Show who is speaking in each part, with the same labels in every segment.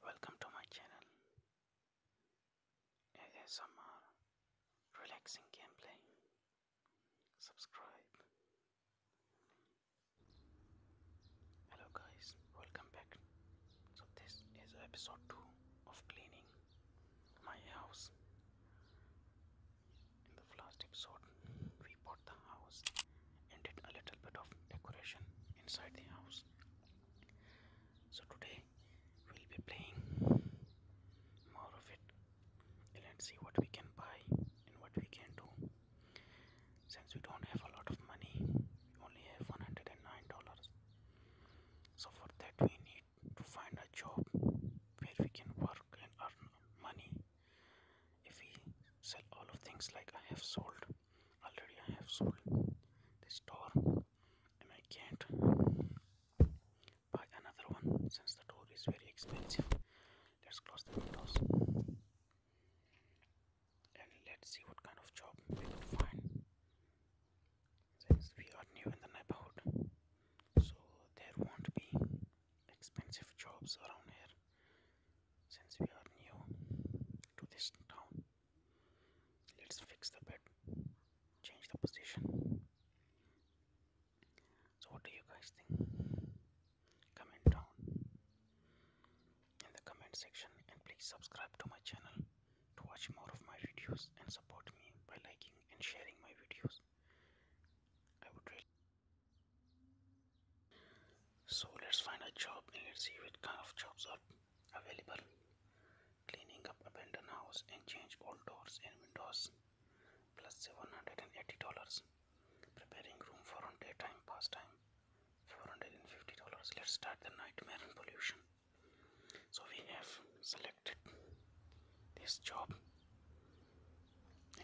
Speaker 1: Welcome to my channel ASMR Relaxing Gameplay. Subscribe. Hello guys, welcome back. So this is episode 2 of cleaning my house. In the last episode we bought the house and did a little bit of decoration inside the house so today we'll be playing more of it and let's see what we can buy and what we can do since we don't have a lot of money we only have 109 dollars so for that we need to find a job where we can work and earn money if we sell all of things like i have sold already I have sold this door, and I can't buy another one since the door is very expensive let's close the windows and let's see what kind of job we can find since we are new in the neighborhood so there won't be expensive jobs around here since we are new to this town let's fix the bed change the position so what do you guys think comment down in the comment section and please subscribe to my channel to watch more of my videos and support me by liking and sharing my videos i would really so let's find a job and let's see what kind of jobs are available cleaning up abandoned houses and change all doors and windows plus $780 preparing room for on daytime pastime $450 let's start the nightmare and pollution so we have selected this job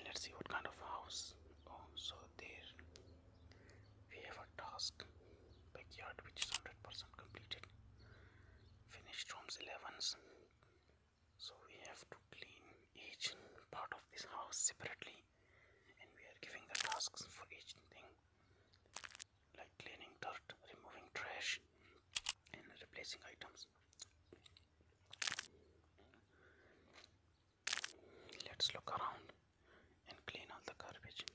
Speaker 1: let's see what kind of house. Oh, so there we have a task backyard which is 100% completed. Finished rooms 11s. So we have to clean each part of this house separately, and we are giving the tasks for each thing like cleaning dirt, removing trash, and replacing items. Let's look around and clean all the garbage.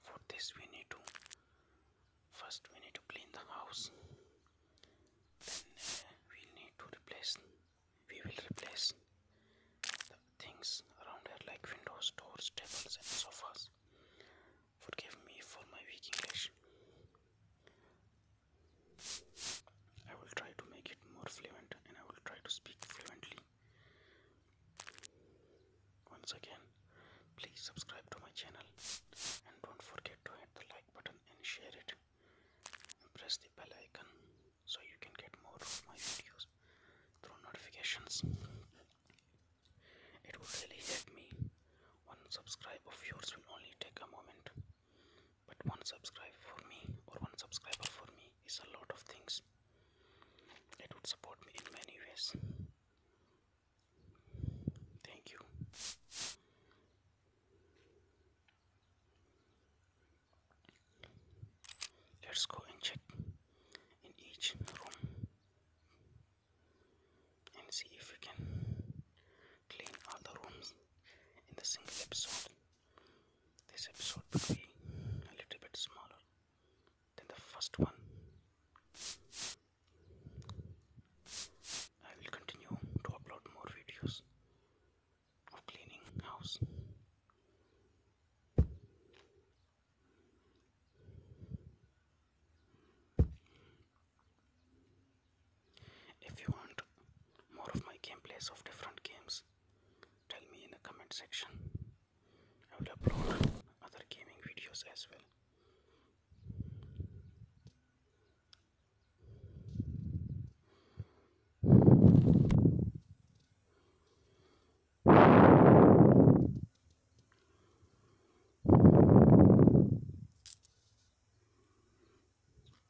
Speaker 1: For this we need to first we need to clean the house. Then uh, we need to replace we will replace the things around here like windows, doors, tables and sofas. Forgive me for my weak English. I will try to make it more fluent and I will try to speak fluently. Once again, please subscribe to my channel and don't forget to hit the like button and share it. And press the bell icon so you can get more of my videos through notifications. It would really help me. One subscribe of yours will only take a moment but one subscribe for me or one subscriber for me is a lot of things it would support me in many ways thank you let's go and check in each room and see if we can clean all rooms in the single episode. This episode will be a little bit smaller than the first one. I will continue to upload more videos of cleaning house. If you want more of my gameplays of different games, tell me in the comment section. I will upload other gaming videos as well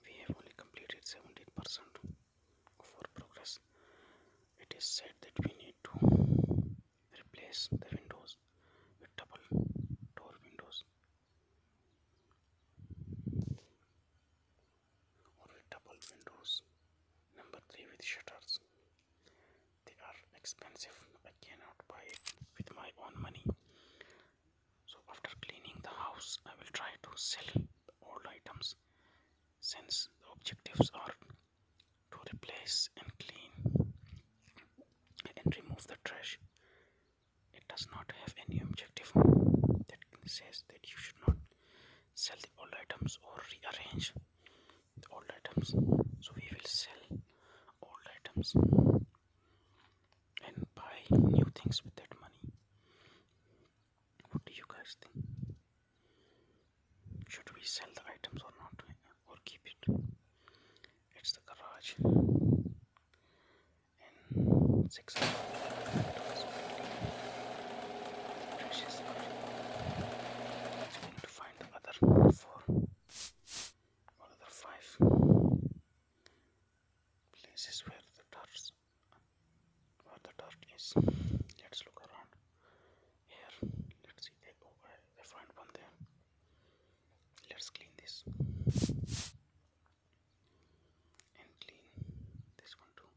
Speaker 1: we have only completed seventy percent of our progress it is said that we need to replace the windows with double door windows or with double windows number 3 with shutters they are expensive i cannot buy it with my own money so after cleaning the house, I will try to sell the old items since the objectives are to replace and clean and remove the trash. It does not have any objective that says that you should not sell the old items or rearrange the old items. So we will sell old items and buy new things with that money. What do you guys think? Should we sell the items or not, or keep it? It's the garage six. Precious. It's going to find the four or five places where the dirt where the dirt is let's look around here let's see the oh, front one there let's clean this and clean this one too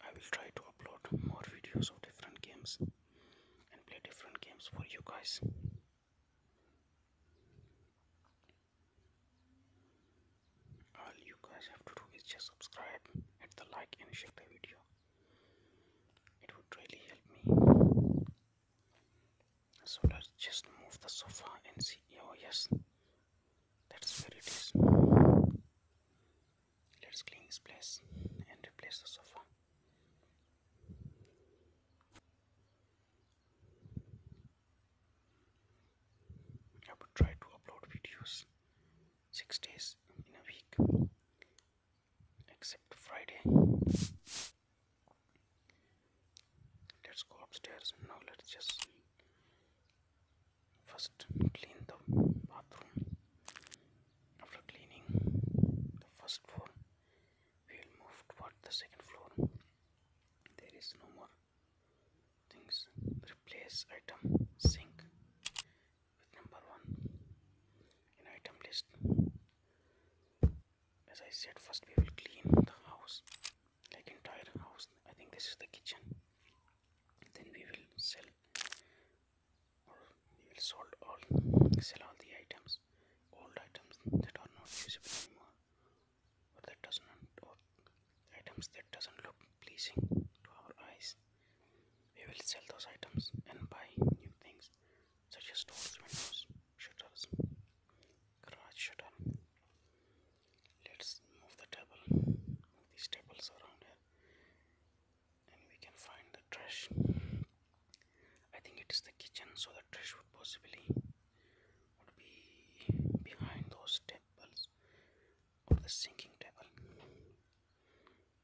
Speaker 1: I will try to upload more videos of different games and play different games for you guys. All you guys have to do is just subscribe, hit the like, and share the video it would really help me so let's just move the sofa and see oh yes that's where it is let's clean this place and replace the sofa I would try to upload videos six days in a week except Friday. Let's go upstairs now. Let's just first clean the bathroom. After cleaning the first floor, we'll move toward the second floor. There is no more things. Replace item sink with number 1 in item list. As I said, first we will clean the house, like entire house. I think this is the kitchen. Then we will sell or we will sold all sell all the items, old items that are not usable anymore, or that does not or items that doesn't look pleasing to our eyes. We will sell those items and buy new things such as doors, windows, shutters, garage shutter. Let's move the table, move these tables around here, and we can find the trash. I think it is the kitchen, so the trash would possibly would be behind those tables or the sinking table.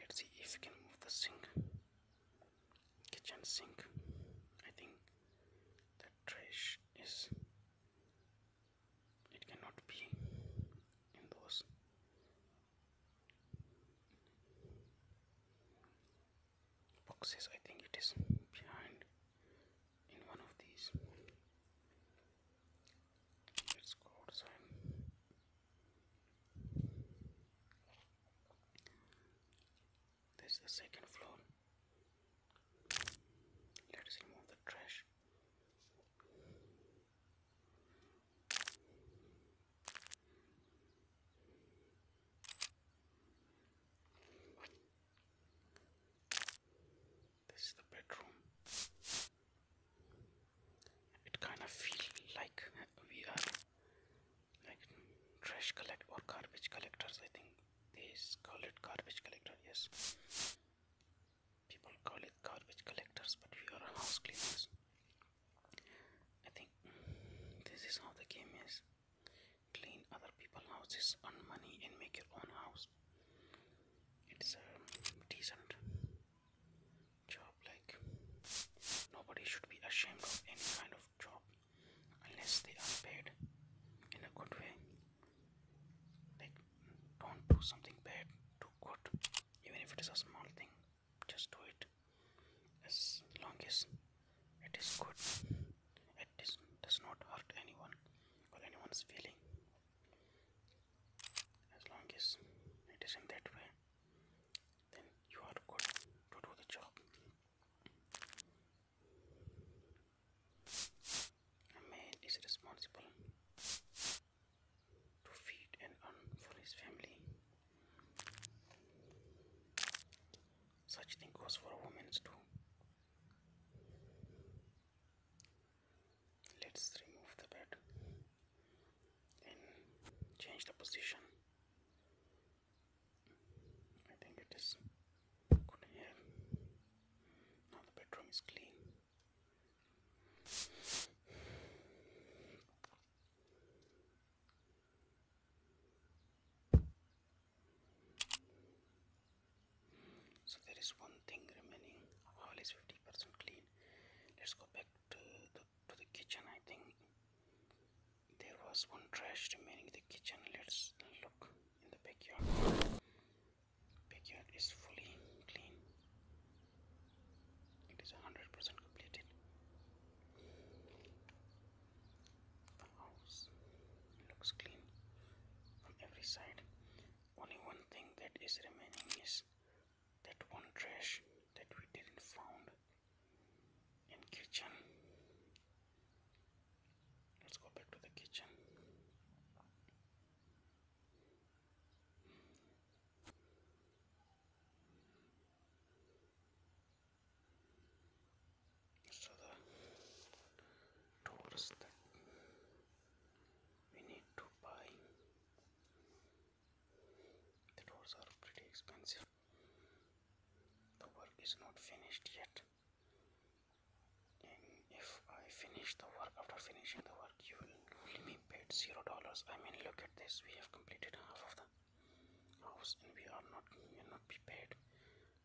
Speaker 1: Let's see if we can move the sink, kitchen sink. I think the trash is, it cannot be in those boxes I think it is behind in one of these let's go outside this is the second floor let's remove the trash this is the bedroom. It kind of feels like we are like trash collect or garbage collectors. I think they call it garbage collector. Yes people call it garbage collectors, but we are house cleaners. I think this is how the game is clean other people's houses, earn money, and make your own house. It's a decent job, like nobody should be ashamed of any kind of job unless they are paid in a good way. Like don't do something bad do good even if it is a small thing just do it as long as it is good It does not hurt anyone or anyone's feeling as long as it is in that way then you are good to do the job a man is responsible to feed and for his family. Such thing goes for women too. Let's remove the bed and change the position. I think it is good here. Now the bedroom is clean. So there is one thing remaining. All is 50% clean. Let's go back to the, to the kitchen. I think there was one trash remaining in the kitchen. Let's look in the backyard. Backyard is fully clean. It is 100% completed. The house looks clean from every side. Only one thing that is remaining is that one trash that we didn't found in kitchen. Let's go back to the kitchen. So the doors that we need to buy, the doors are pretty expensive. The work is not finished yet if I finish the work after finishing the work you will be paid zero dollars I mean look at this we have completed half of the house and we are not we will not be paid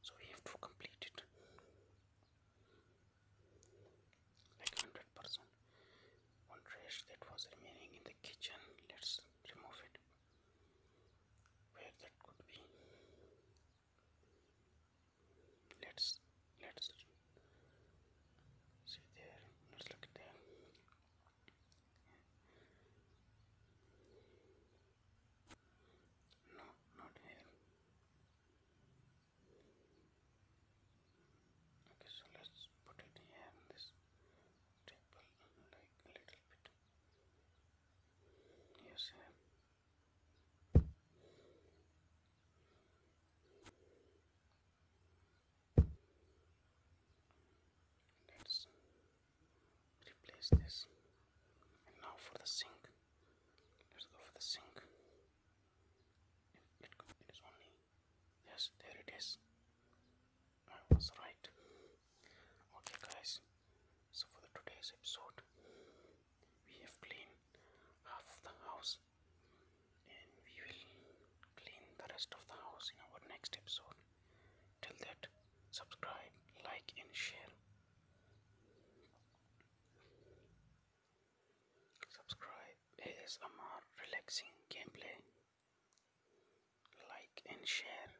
Speaker 1: so we have to complete it like 100 percent one trash that was remaining in the kitchen let's remove it where that could be let's let's see there let's look there no not here okay so let's put it here in this table like a little bit yes Let's replace this. And now for the sink. Let's go for the sink. yes, there it is. I was right. Okay, guys. So for today's episode, we have cleaned half of the house and we will clean the rest of the house in our next episode till that subscribe like and share subscribe asmr relaxing gameplay like and share